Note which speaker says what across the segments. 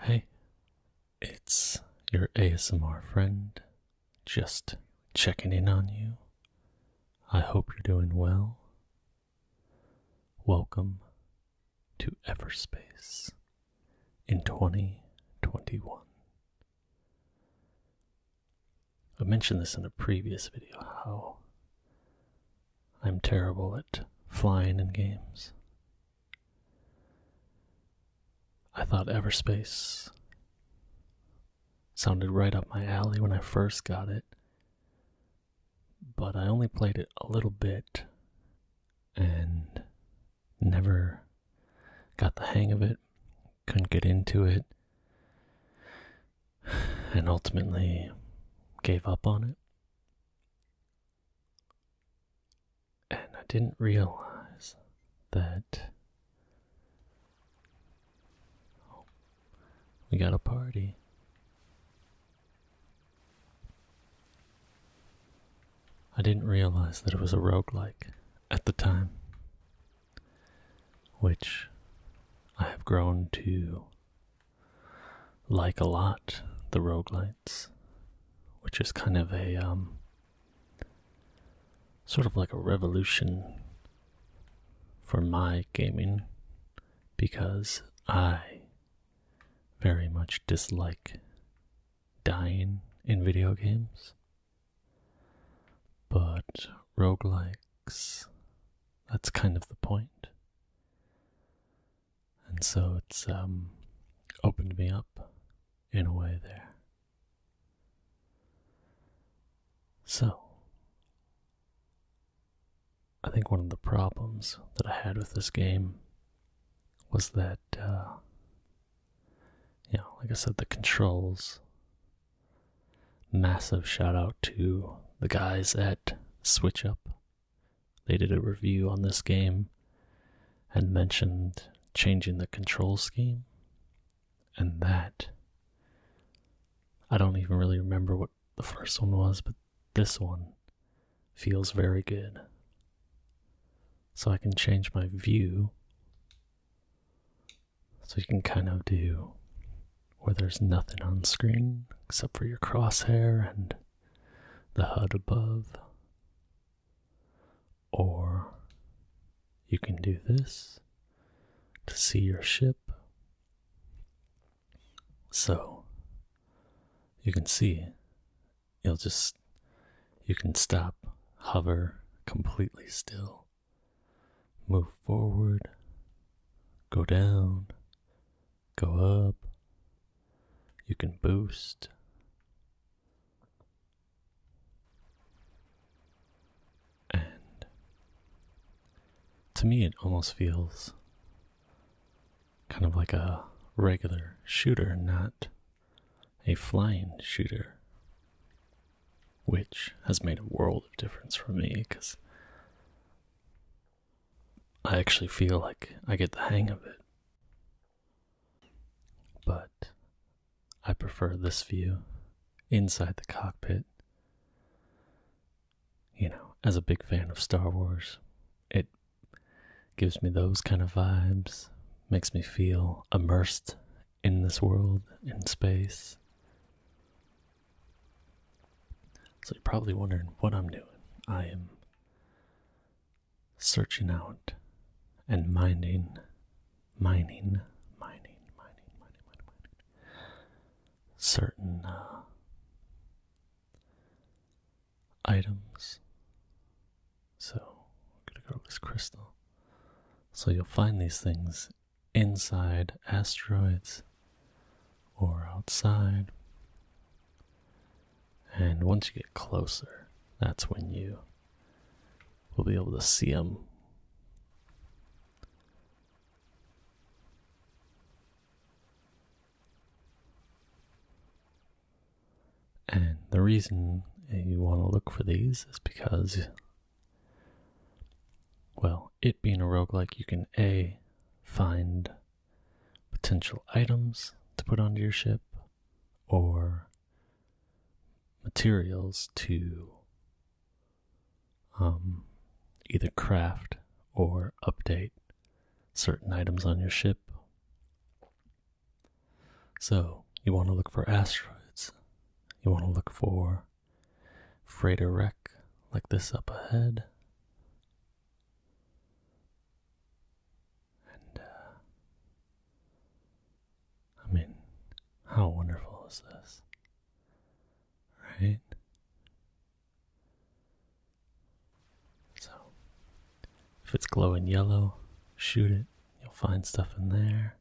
Speaker 1: Hey, it's your ASMR friend, just checking in on you. I hope you're doing well. Welcome to Everspace in 2021. I mentioned this in a previous video how I'm terrible at flying in games. I thought Ever Space sounded right up my alley when I first got it, but I only played it a little bit and never got the hang of it, couldn't get into it, and ultimately gave up on it. And I didn't realize that. Oh, we got a party. I didn't realize that it was a roguelike at the time, which I have grown to like a lot the roguelites, which is kind of a um, sort of like a revolution for my gaming because I very much dislike dying in video games. But roguelikes, that's kind of the point and so it's um, opened me up in a way there. So, I think one of the problems that I had with this game was that, uh, you know, like I said, the controls. Massive shout out to the guys at Switch Up they did a review on this game and mentioned changing the control scheme. And that. I don't even really remember what the first one was, but this one feels very good. So I can change my view. So you can kind of do where there's nothing on screen except for your crosshair and the HUD above. Or you can do this to see your ship. So you can see you'll just you can stop, hover completely still, move forward, go down, go up. You can boost. And to me, it almost feels kind of like a regular shooter, not a flying shooter, which has made a world of difference for me because I actually feel like I get the hang of it. But I prefer this view inside the cockpit. You know, as a big fan of Star Wars, it gives me those kind of vibes, makes me feel immersed in this world, in space. So you're probably wondering what I'm doing. I am searching out and mining, mining, mining, mining, mining, mining, mining certain uh, items. So, I'm gonna go this crystal. So, you'll find these things inside asteroids or outside. And once you get closer, that's when you will be able to see them. And the reason you want to look for these is because, well, it being a rogue like, you can A, find potential items to put onto your ship or materials to um, either craft or update certain items on your ship. So, you want to look for asteroids, you want to look for freighter wreck like this up ahead. And uh, I mean, how wonderful is this? Right? So, if it's glowing yellow, shoot it. You'll find stuff in there.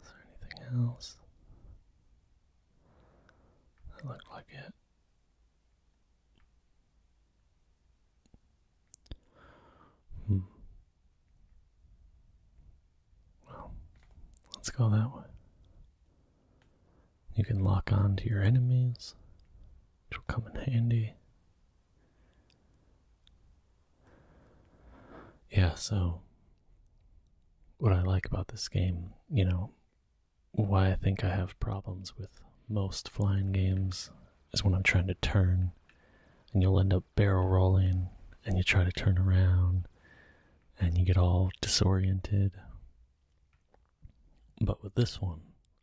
Speaker 1: Is there anything else? That looked like it. Hmm. Well, let's go that way. You can lock on to your enemies, which will come in handy. Yeah, so what I like about this game, you know, why I think I have problems with most flying games is when I'm trying to turn and you'll end up barrel rolling and you try to turn around and you get all disoriented. But with this one,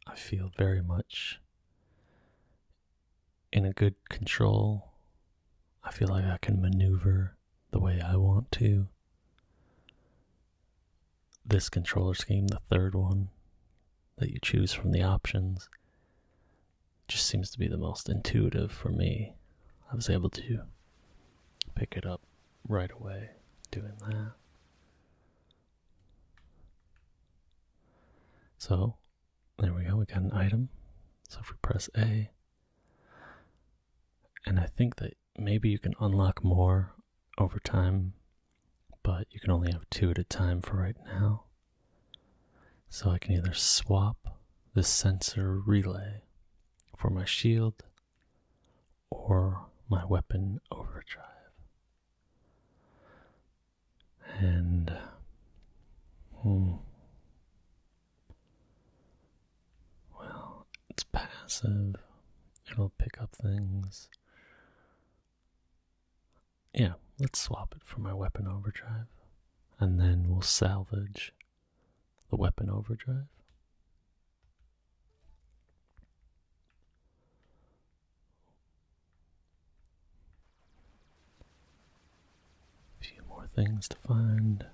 Speaker 1: I feel very much in a good control. I feel like I can maneuver the way I want to. This controller scheme, the third one that you choose from the options, just seems to be the most intuitive for me. I was able to pick it up right away doing that. So, there we go, we got an item. So if we press A, and I think that maybe you can unlock more over time, but you can only have two at a time for right now. So I can either swap the sensor relay for my shield or my weapon overdrive. And hmm. Well, it's passive. It'll pick up things. Yeah, let's swap it for my weapon overdrive. And then we'll salvage the weapon overdrive few more things to find.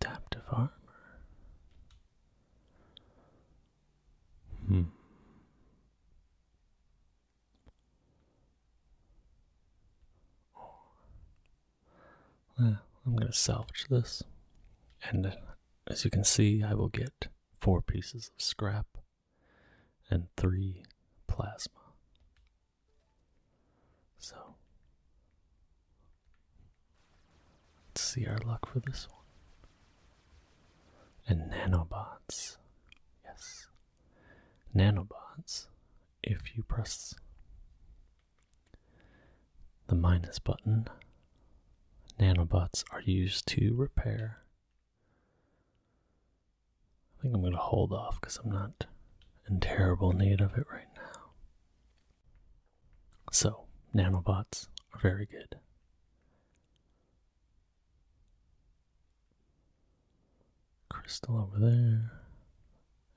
Speaker 1: Adaptive armor. Hmm. Well, I'm going to salvage this. And uh, as you can see, I will get four pieces of scrap and three plasma. So, let's see our luck for this one. And nanobots. Yes. Nanobots, if you press the minus button, nanobots are used to repair I think I'm going to hold off because I'm not in terrible need of it right now. So, nanobots are very good. Crystal over there.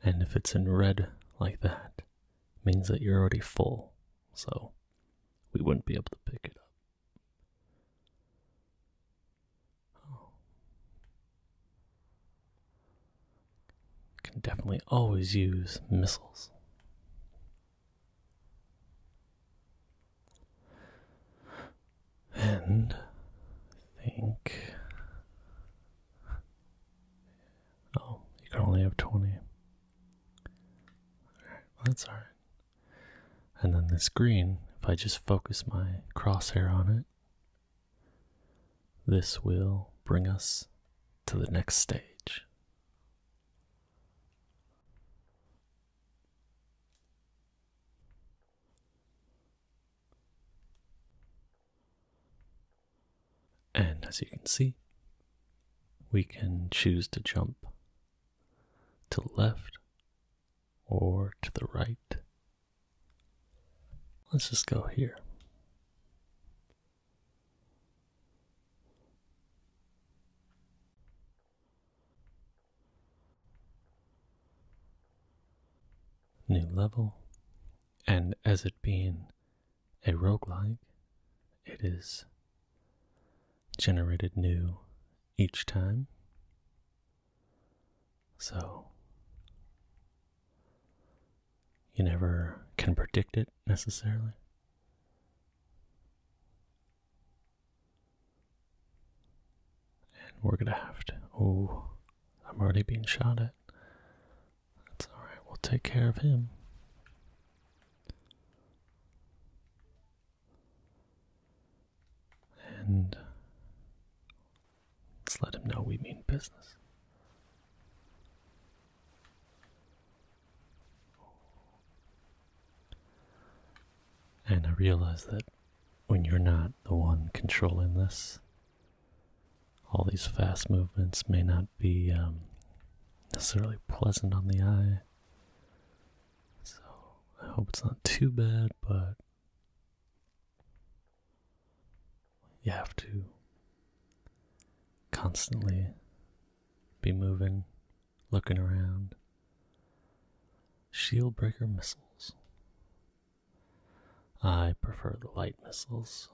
Speaker 1: And if it's in red like that, means that you're already full. So, we wouldn't be able to pick it up. Can definitely always use missiles. And think. Oh, you can only have 20. well, that's alright. And then this green, if I just focus my crosshair on it, this will bring us to the next stage. And as you can see, we can choose to jump to the left or to the right Let's just go here. New level, and as it being a roguelike, it is generated new each time. So, you never can predict it necessarily. And we're gonna have to. Oh, I'm already being shot at. That's alright, we'll take care of him. And Let's let him know we mean business. And I realize that when you're not the one controlling this, all these fast movements may not be um, necessarily pleasant on the eye. So I hope it's not too bad, but you have to constantly be moving, looking around. Shield breaker missiles. I prefer the light missiles,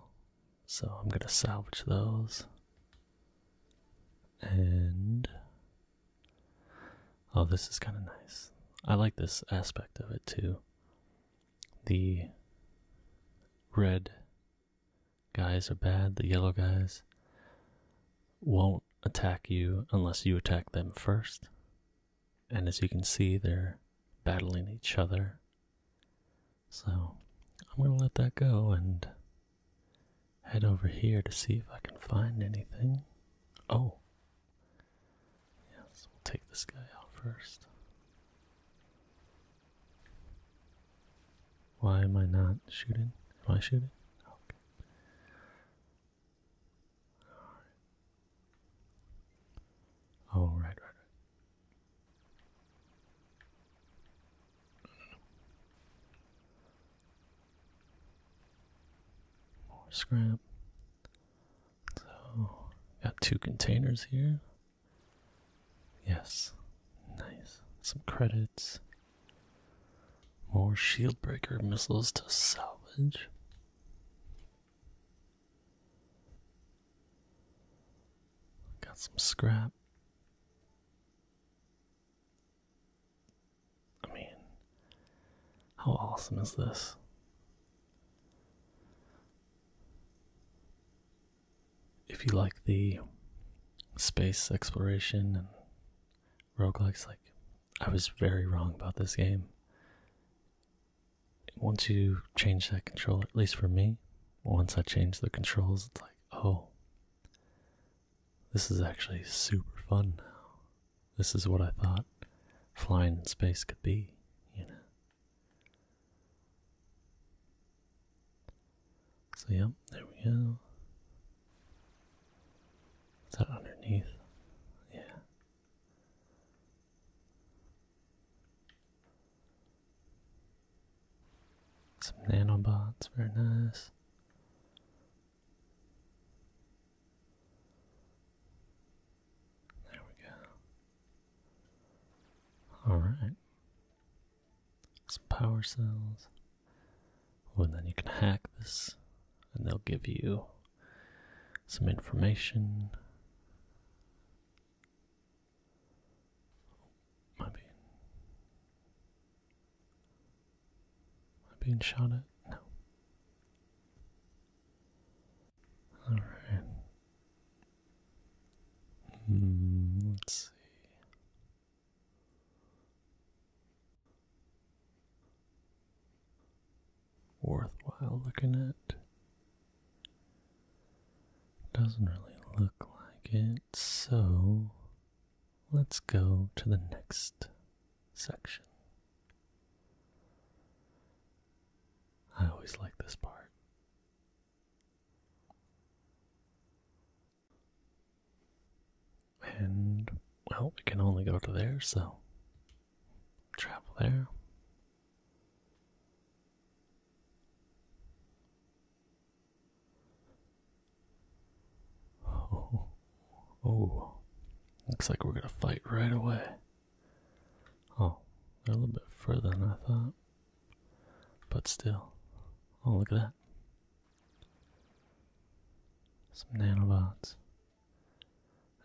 Speaker 1: so I'm going to salvage those. And. Oh, this is kind of nice. I like this aspect of it too. The red guys are bad, the yellow guys won't attack you unless you attack them first. And as you can see, they're battling each other. So I'm going to let that go and head over here to see if I can find anything. Oh, Yes, we'll take this guy out first. Why am I not shooting? Am I shooting? Okay. Oh, right, right, right. More scrap. So, got two containers here. Yes, nice. Some credits. More shield breaker missiles to salvage. Got some scrap. I mean, how awesome is this? If you like the space exploration and roguelikes, like I was very wrong about this game. Once you change that control, at least for me, once I change the controls, it's like, oh, this is actually super fun now. This is what I thought flying in space could be, you know. So, yep, there we go. Is that underneath? Yeah. Some nanobots, very nice. There we go. Alright. Some power cells. Well, then you can hack this, and they'll give you some information. Am I being, am I being No. All right. Hmm, let's see. Worthwhile looking at. Doesn't really look like it, so let's go to the next section. I always like this part. And, well, we can only go to there, so travel there. Oh, oh, looks like we're gonna fight right away. Oh, they're a little bit further than I thought. But still. Oh, look at that. Some nanobots.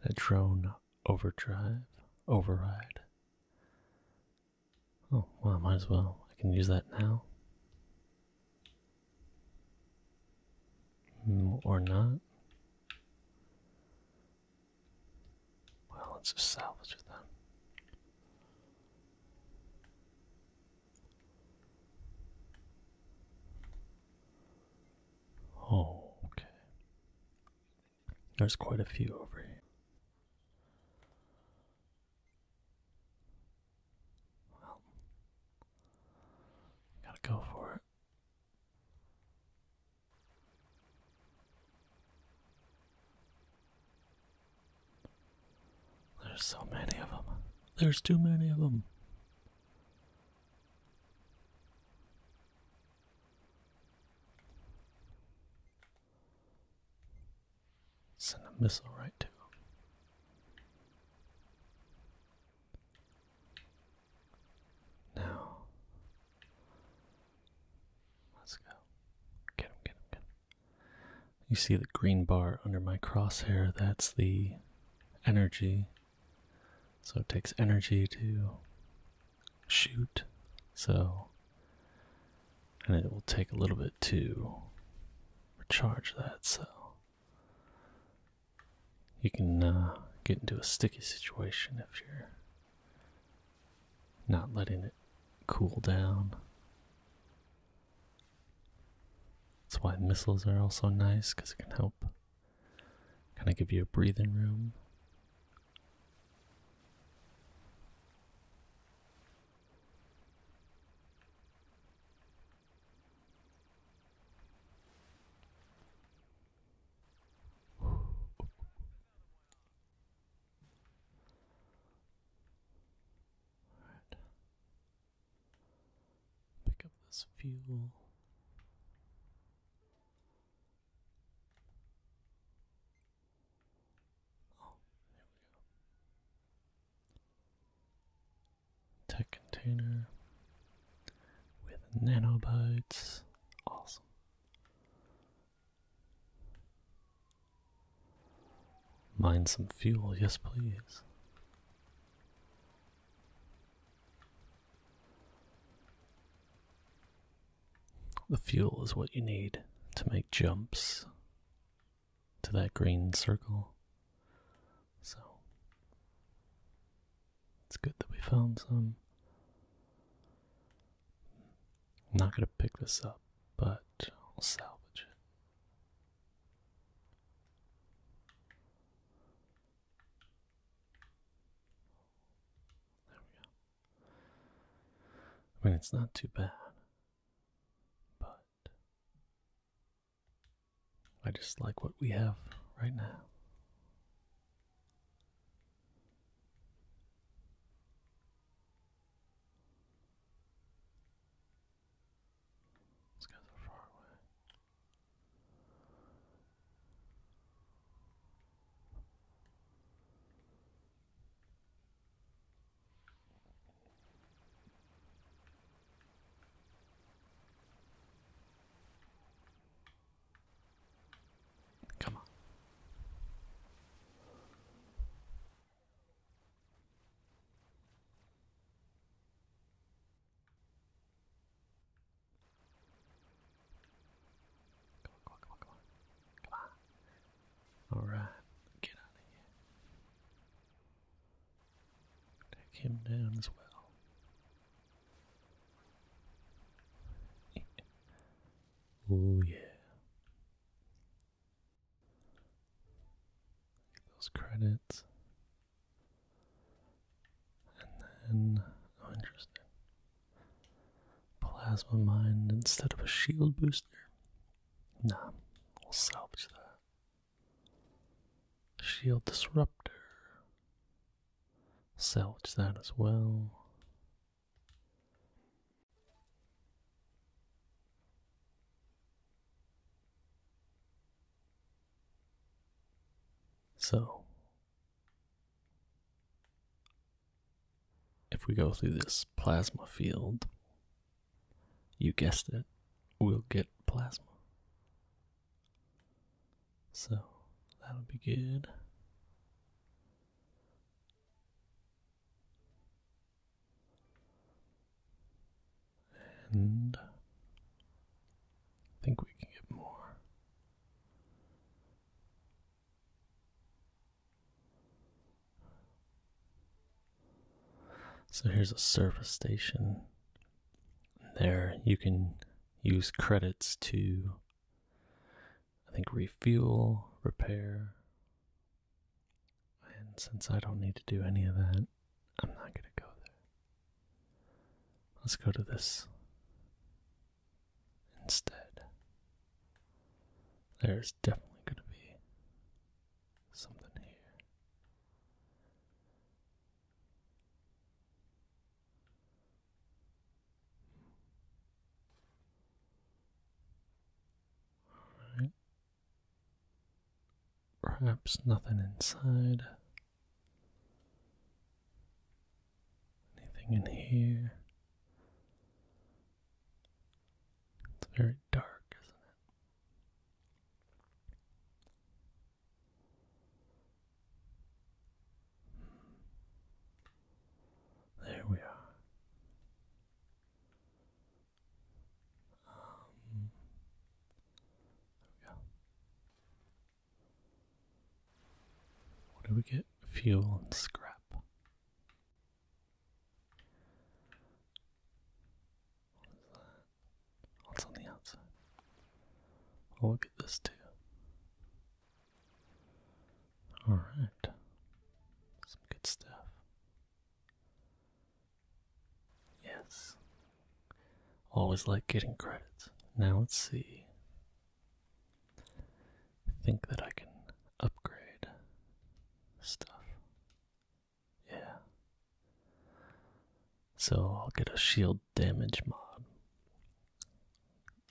Speaker 1: And a drone overdrive. Override. Oh, well, I might as well. I can use that now. Hmm, or not. Well, let's just salvage it Oh, okay. There's quite a few over here. Well, gotta go for it. There's so many of them. There's too many of them. Send a missile right to them. Now, let's go. Get him, get him, get him. You see the green bar under my crosshair? That's the energy. So it takes energy to shoot. So, and it will take a little bit to recharge that. So, you can uh, get into a sticky situation if you're
Speaker 2: not letting it
Speaker 1: cool down. That's why missiles are also nice because it can help kind of give you a breathing room. Pick up this fuel. Oh, Tech container with nanobites. Awesome. Mine some fuel, yes please. The fuel is what you need to make jumps to that green circle. So it's good that we found some. I'm not going to pick this up, but I'll salvage it. There we go. I mean, it's not too bad, but I just like what we have right now. These guys are far away. Come on. Come on, come on, come on, come on. Alright, get out of here. Take him down as well oh, yeah. Those credits. And then, oh, interesting. Plasma mine instead of a shield booster. Nah, we'll salvage that. Shield disruptor. Salvage that as well. So, if we go through this plasma field, you guessed it, we'll get plasma. So that'll be good. And I think we can get more. So here's a service station. There you can use credits to I think refuel, repair. And since I don't need to do any of that, I'm not going to go there. Let's go to this instead. There's definitely going to be something here. Perhaps nothing inside. Anything in here? It's very dark, isn't it? There we are. Um, there we go. What do we get? Fuel and scrap. What is on the outside? Oh, look at this too. All right. Some good stuff. Yes. Always like getting credits. Now let's see. think that I can upgrade stuff. Yeah. So I'll get a shield damage mod.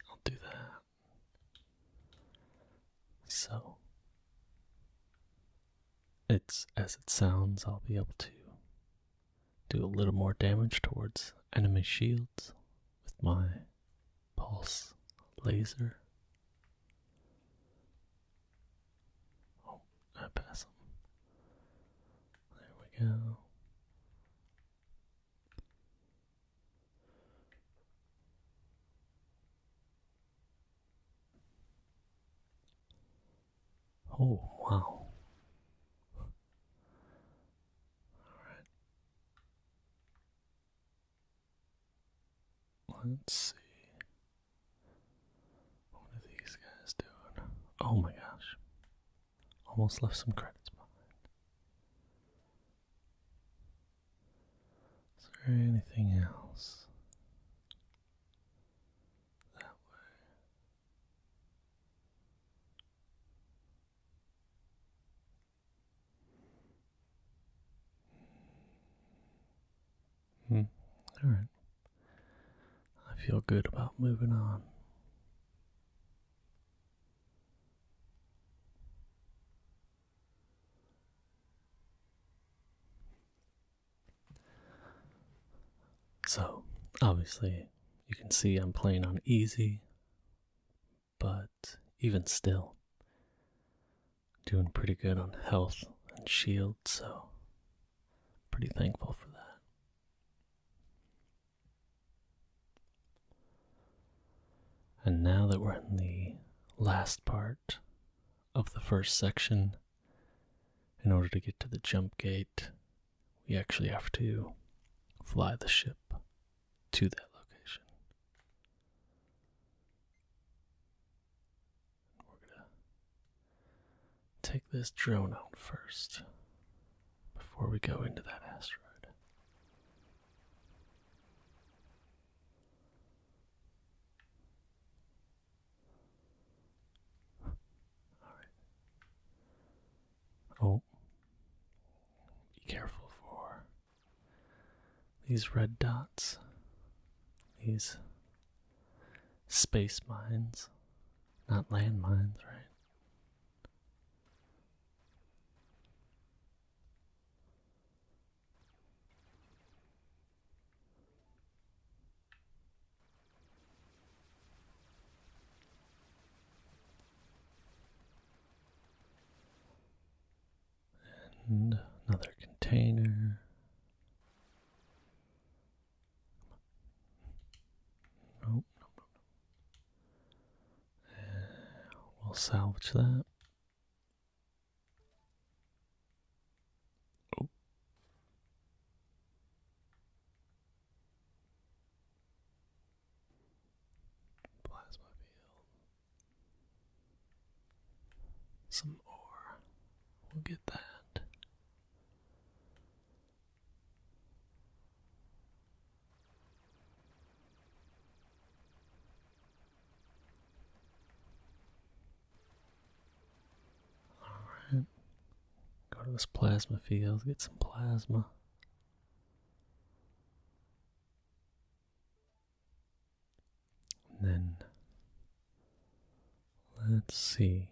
Speaker 1: I'll do that. So, it's as it sounds, I'll be able to do a little more damage towards enemy shields with my pulse laser. Oh, I pass him. There we go. Oh, wow. All right. Let's see. What are these guys doing? Oh my gosh. Almost left some credits behind. Is there anything else? That way. Hmm. All right. I feel good about moving on. So, obviously, you can see I'm playing on easy, but even still, doing pretty good on health and shield, so pretty thankful for that. And now that we're in the last part of the first section, in order to get to the jump gate, we actually have to fly the ship to that location. We're going to take this drone out first before we go into that asteroid. All right. Oh, be careful for these red dots, these space mines, not land mines, right? And another container. Nope, nope, nope we'll salvage that. Oh. Plasma field. Some ore. We'll get that. Alright. Go to this plasma field, get some plasma. then let's see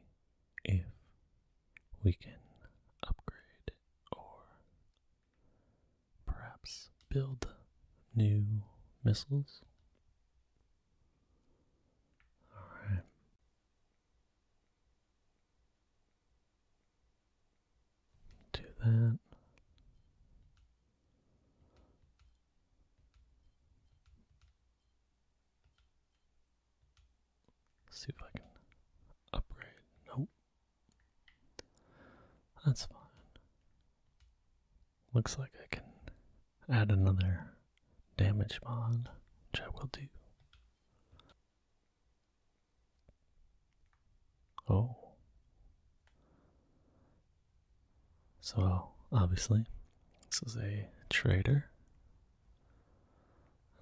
Speaker 1: if we can upgrade or Perhaps build new missiles? Alright. Do that. see if I can upgrade. Nope, that's fine. Looks like I can add another damage bond, which I will do. Oh. So, obviously, this is a trader.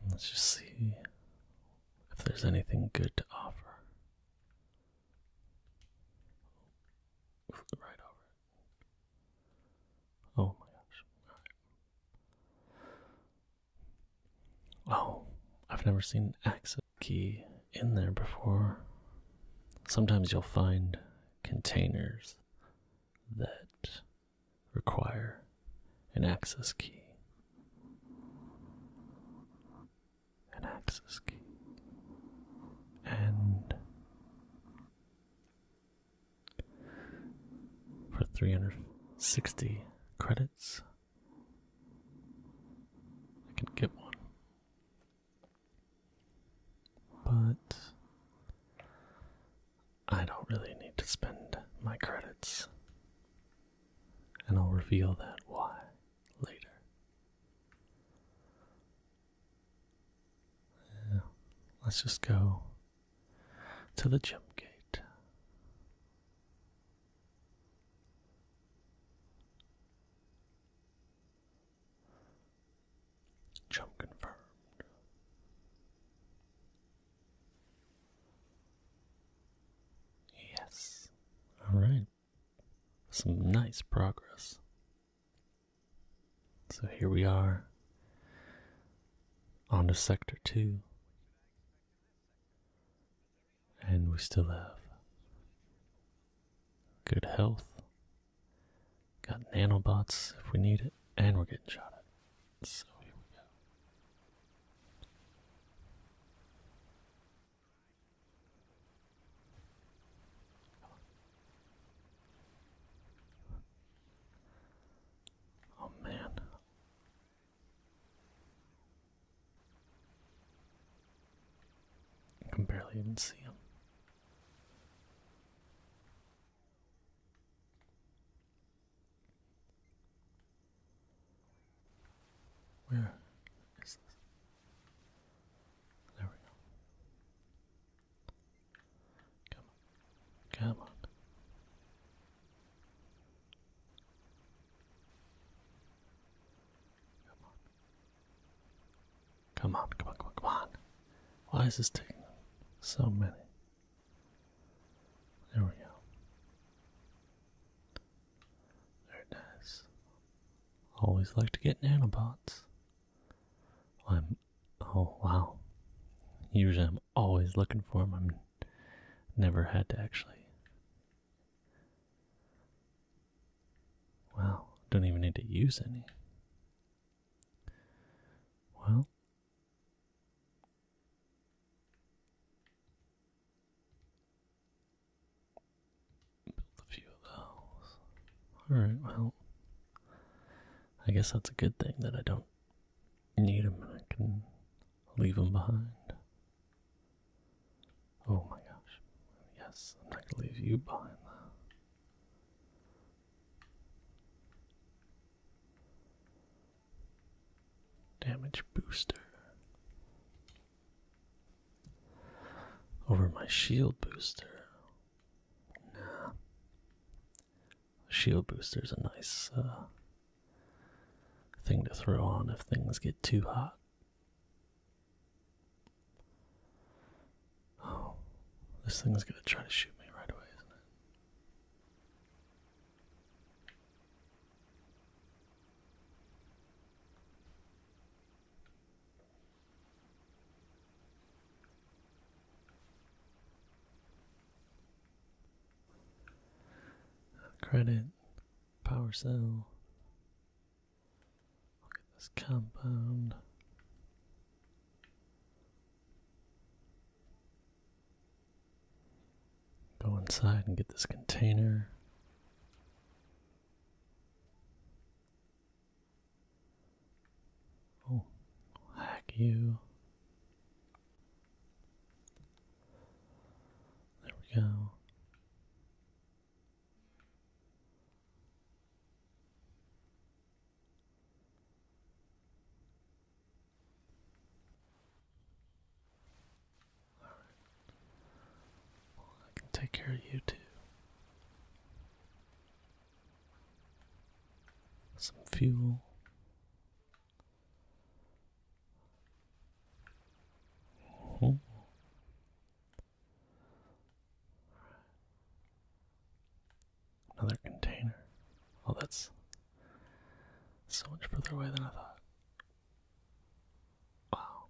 Speaker 1: let's just see if there's anything good to offer. Right over. Oh my gosh. Oh, I've never seen an access key in there before. Sometimes you'll find containers that require an access key an access key, and for 360 credits, I can get one. But I don't really need to spend my credits and I'll reveal that why later. Yeah. Let's just go to the gym gate. Jump confirmed. Yes. All right. Some nice progress. So here we are on to sector two. And we still have good health. Got nanobots if we need it, and we're getting shot at. So here we go. Oh man. I can barely even see him. Where is this? There we go. Come on. Come on. Come on. Come on, come on, come on, Why is this taking so many? There we go. They're Always like to get nanobots. I'm. Oh, wow. Usually I'm always looking for them. I'm never had to actually. Wow, don't even need to use any. Well, Build a few of those. Alright, well, I guess that's a good thing that I don't need them and I can leave them behind. Oh my gosh. Yes, I'm not going to leave you behind, Damage booster. Over my shield booster. Nah. Shield booster's a nice uh, thing to throw on if things get too hot. Oh, this thing's gonna try to shoot me right away, isn't it? Credit, power cell. Look at this compound. Go inside and get this container. Oh, hack you. There we go. I can take care of you too. Some fuel. Oh. Another container. Oh, that's so much further away than I thought. Wow.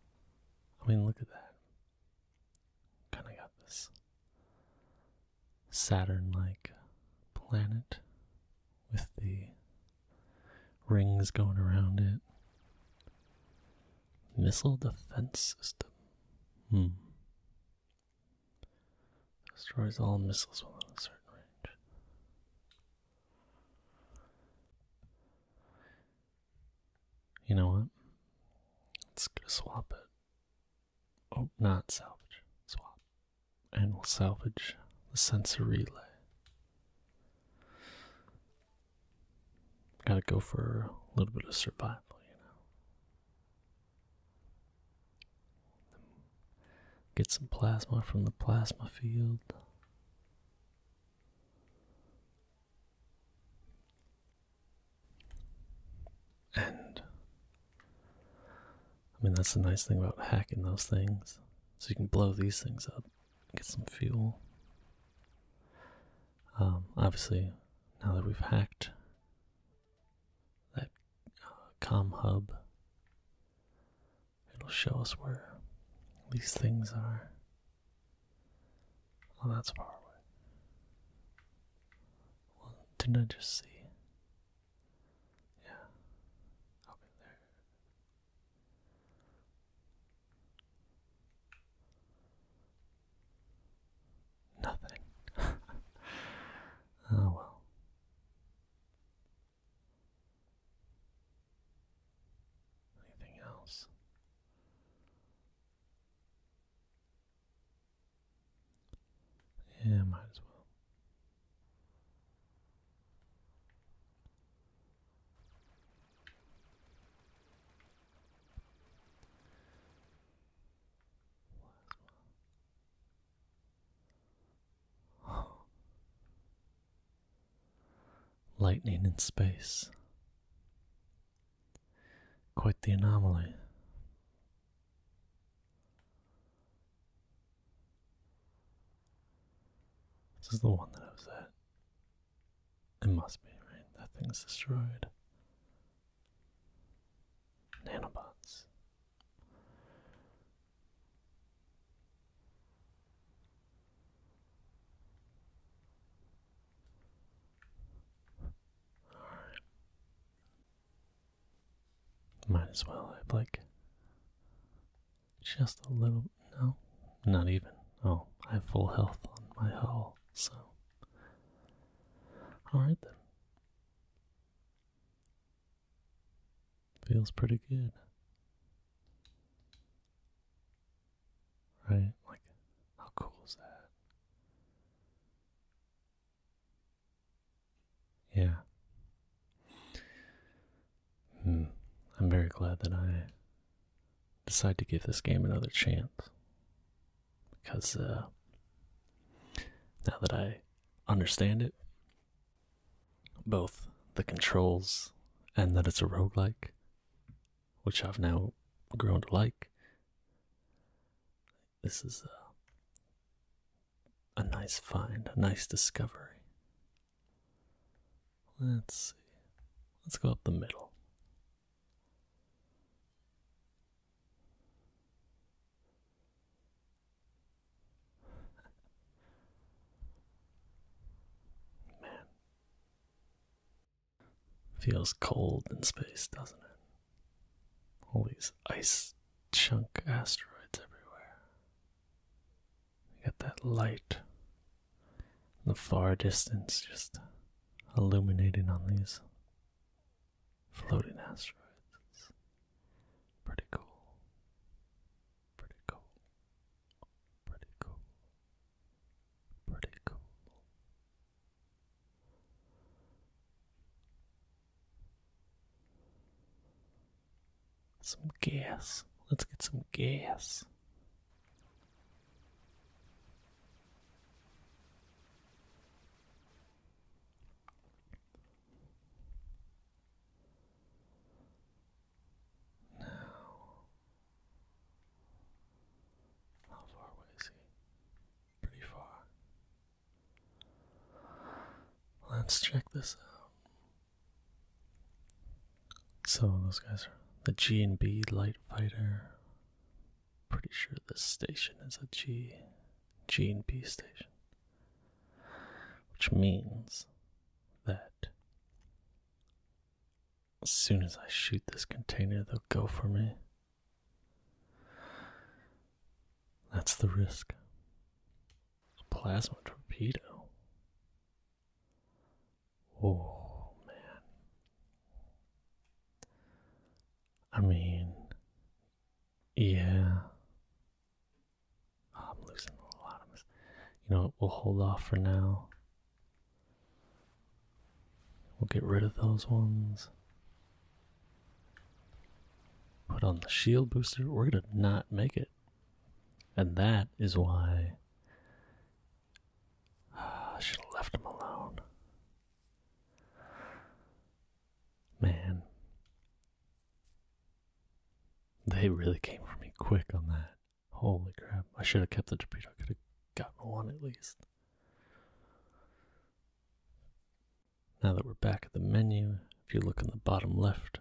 Speaker 1: I mean, look at that. Kind of got this Saturn like planet with the rings going around it. Missile defense system. Hmm. Destroys all missiles within a certain range. You know what? Let's go swap it. Oh, not salvage. Swap. And we'll salvage the sensor relay. Gotta go for a little bit of survival, you know. Get some plasma from the plasma field. And I mean, that's the nice thing about hacking those things. So you can blow these things up, get some fuel. Um, obviously, now that we've hacked that uh, com hub, It'll show us where these things are. Oh, that's far away. Well, didn't I just see? Yeah. Okay, there. Nothing. oh well. Anything else? Yeah, might as well. Lightning in space. Quite the anomaly. This is the one that I was at. It must be, right? That thing's destroyed. Nanobots. Might as well, I'd like just a little. No, not even. Oh, I have full health on my hull, so. Alright then. Feels pretty good. Right? Like, how cool is that? Yeah. Hmm. I'm very glad that I decide to give this game another chance. Because uh, now that I understand it both the controls and that it's a roguelike, which I've now grown to like. This is a, a nice find, a nice discovery. Let's see. Let's go up the middle. Man. Feels cold in space, doesn't it? All these ice chunk asteroids everywhere. You got that light in the far distance just illuminating on these floating asteroids. pretty cool. Pretty cool. Pretty cool. Pretty cool. Some gas. Let's get some gas. Now, how far away is he? Pretty far. Let's check this out. So those guys are the G and B light fighter. Pretty sure this station is a G, G and B station, which means that as soon as I shoot this container, they'll go for me. That's the risk. A plasma torpedo. Oh, man. I mean, yeah, Ah, I'm losing a lot of them. You know We'll hold off for now. We'll get rid of those ones. Put on the shield booster. We're going to not make it. And that is why I should have left him alone. Man. They really came for me quick on that. Holy crap. I should have kept the torpedo. I could have gotten one at least. Now that we're back at the menu, if you look in the bottom left,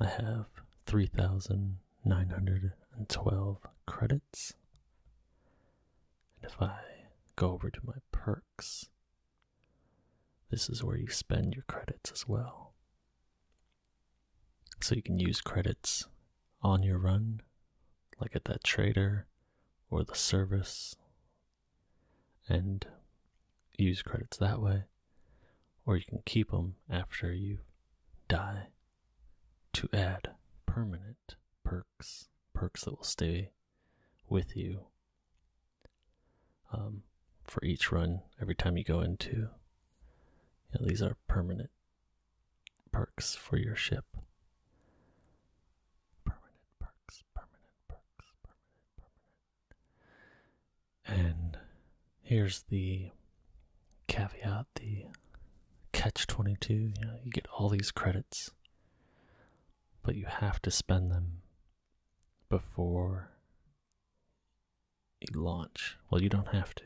Speaker 1: I have 3,912 credits. And if I go over to my perks, this is where you spend your credits as well. So you can use credits on your run, like at that trader or the service, and use credits that way, or you can keep them after you die to add permanent perks, perks that will stay with you um, for each run every time you go into yeah, these are permanent perks for your ship. Permanent perks, permanent perks, permanent, permanent. And here's the caveat, the catch 22. You you get all these credits, but you have to spend them before launch. Well, you don't have to.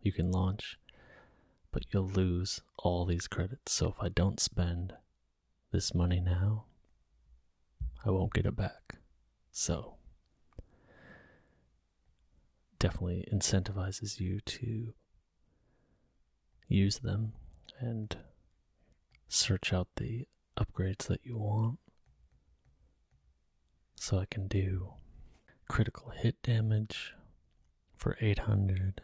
Speaker 1: You can launch, but you'll lose all these credits. So if I don't spend this money now, I won't get it back. So definitely incentivizes you to use them and search out the upgrades that you want so I can do critical hit damage for 800.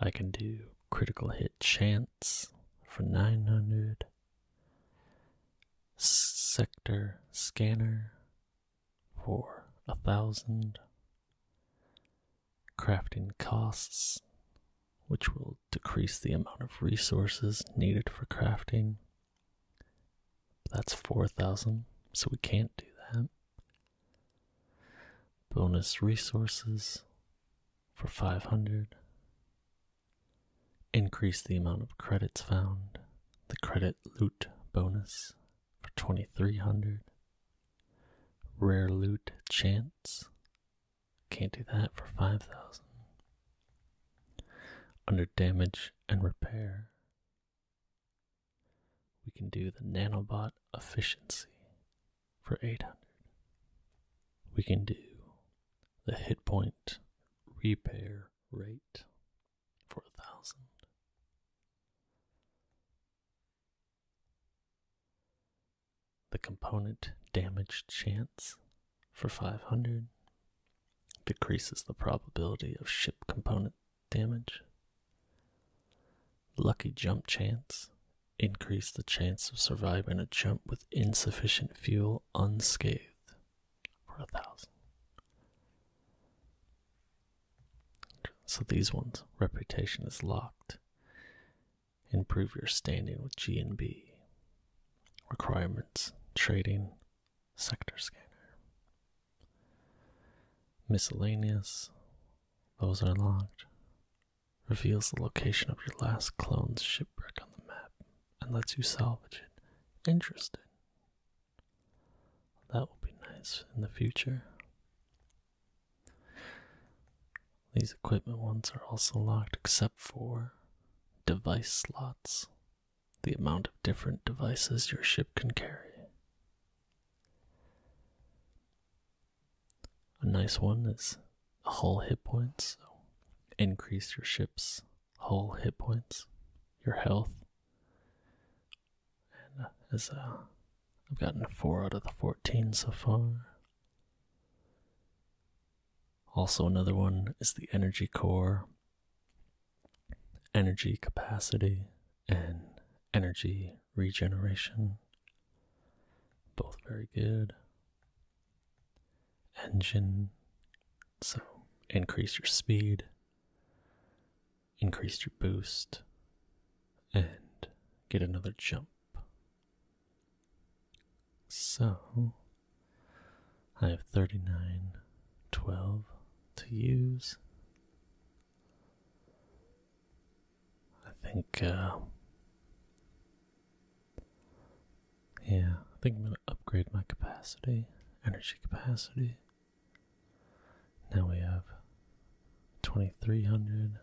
Speaker 1: I can do critical hit chance for 900. Sector scanner for a 1000. Crafting costs, which will decrease the amount of resources needed for crafting that's 4,000, so we can't do that. Bonus resources for 500. Increase the amount of credits found. The credit loot bonus for 2300. Rare loot chance. Can't do that for 5000. Under damage and repair, we can do the nanobot efficiency for 800. We can do the hit point repair rate for 1000. The component damage chance for 500 decreases the probability of ship component damage. Lucky jump chance increase the chance of surviving a jump with insufficient fuel unscathed for a thousand. So these ones, reputation is locked. Improve your standing with G and B. Requirements, trading, sector scanner. Miscellaneous, those are locked. Reveals the location of your last clone's shipwreck on the map and lets you salvage it. Interesting. That will be nice in the future. These equipment ones are also locked except for device slots, the amount of different devices your ship can carry. A nice one is hull hit points, so increase your ship's hull hit points, your health. And uh, as uh, I've gotten 4 out of the 14 so far. Also, another one is the energy core, energy capacity, and energy regeneration. Both very good. Engine, so increase your speed, increase your boost, and get another jump. So, I have 39, 12 to use. I think, uh, yeah, I think I'm going to upgrade my capacity, energy capacity. Now we have 2300.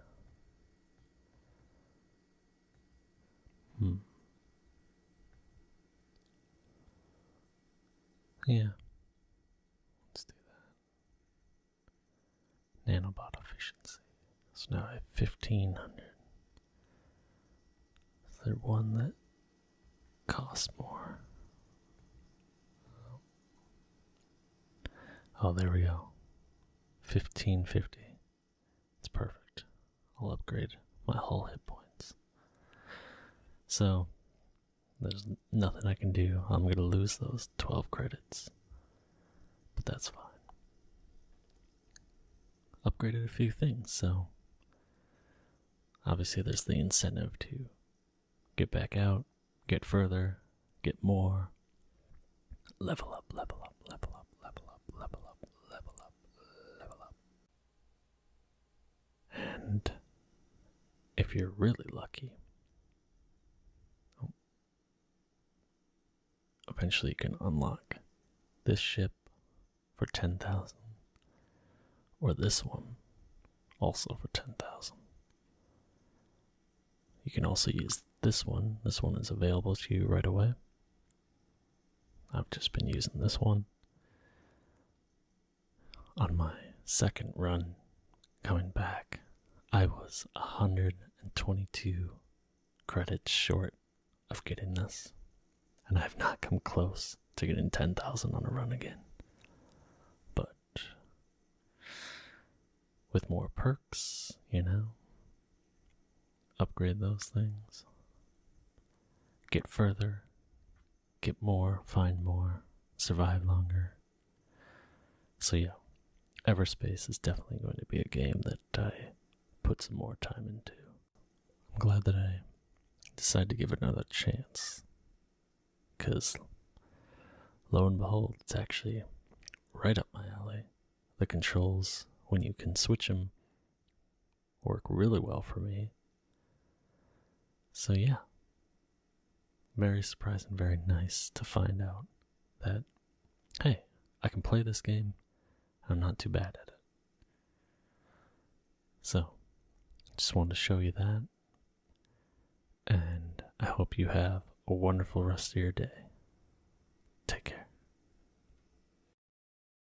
Speaker 1: Hmm. Yeah. Let's do that. Nanobot efficiency. So now at 1500. Is there one that costs more? Oh, there we go. 1550. It's perfect. I'll upgrade my whole hit points. So, there's nothing I can do. I'm going to lose those 12 credits. But that's fine. Upgraded a few things, so obviously there's the incentive to get back out, get further, get more. Level up, level up, level up, level up, level up, level up, level up. And if you're really lucky, oh, eventually you can unlock this ship for 10,000 or this one also for 10,000. You can also use this one. This one is available to you right away. I've just been using this one on my second run coming back. I was 122 credits short of getting this, and I have not come close to getting 10,000 on a run again. But with more perks, you know, upgrade those things, get further, get more, find more, survive longer. So, yeah, Everspace is definitely going to be a game that I put some more time into. I'm glad that I decided to give it another chance. Because, lo and behold, it's actually right up my alley. The controls, when you can switch them, work really well for me. So, yeah, very surprising, very nice to find out that, hey, I can play this game, I'm not too bad at it. So, just wanted to show you that, and I hope you have a wonderful rest of your day. Take care.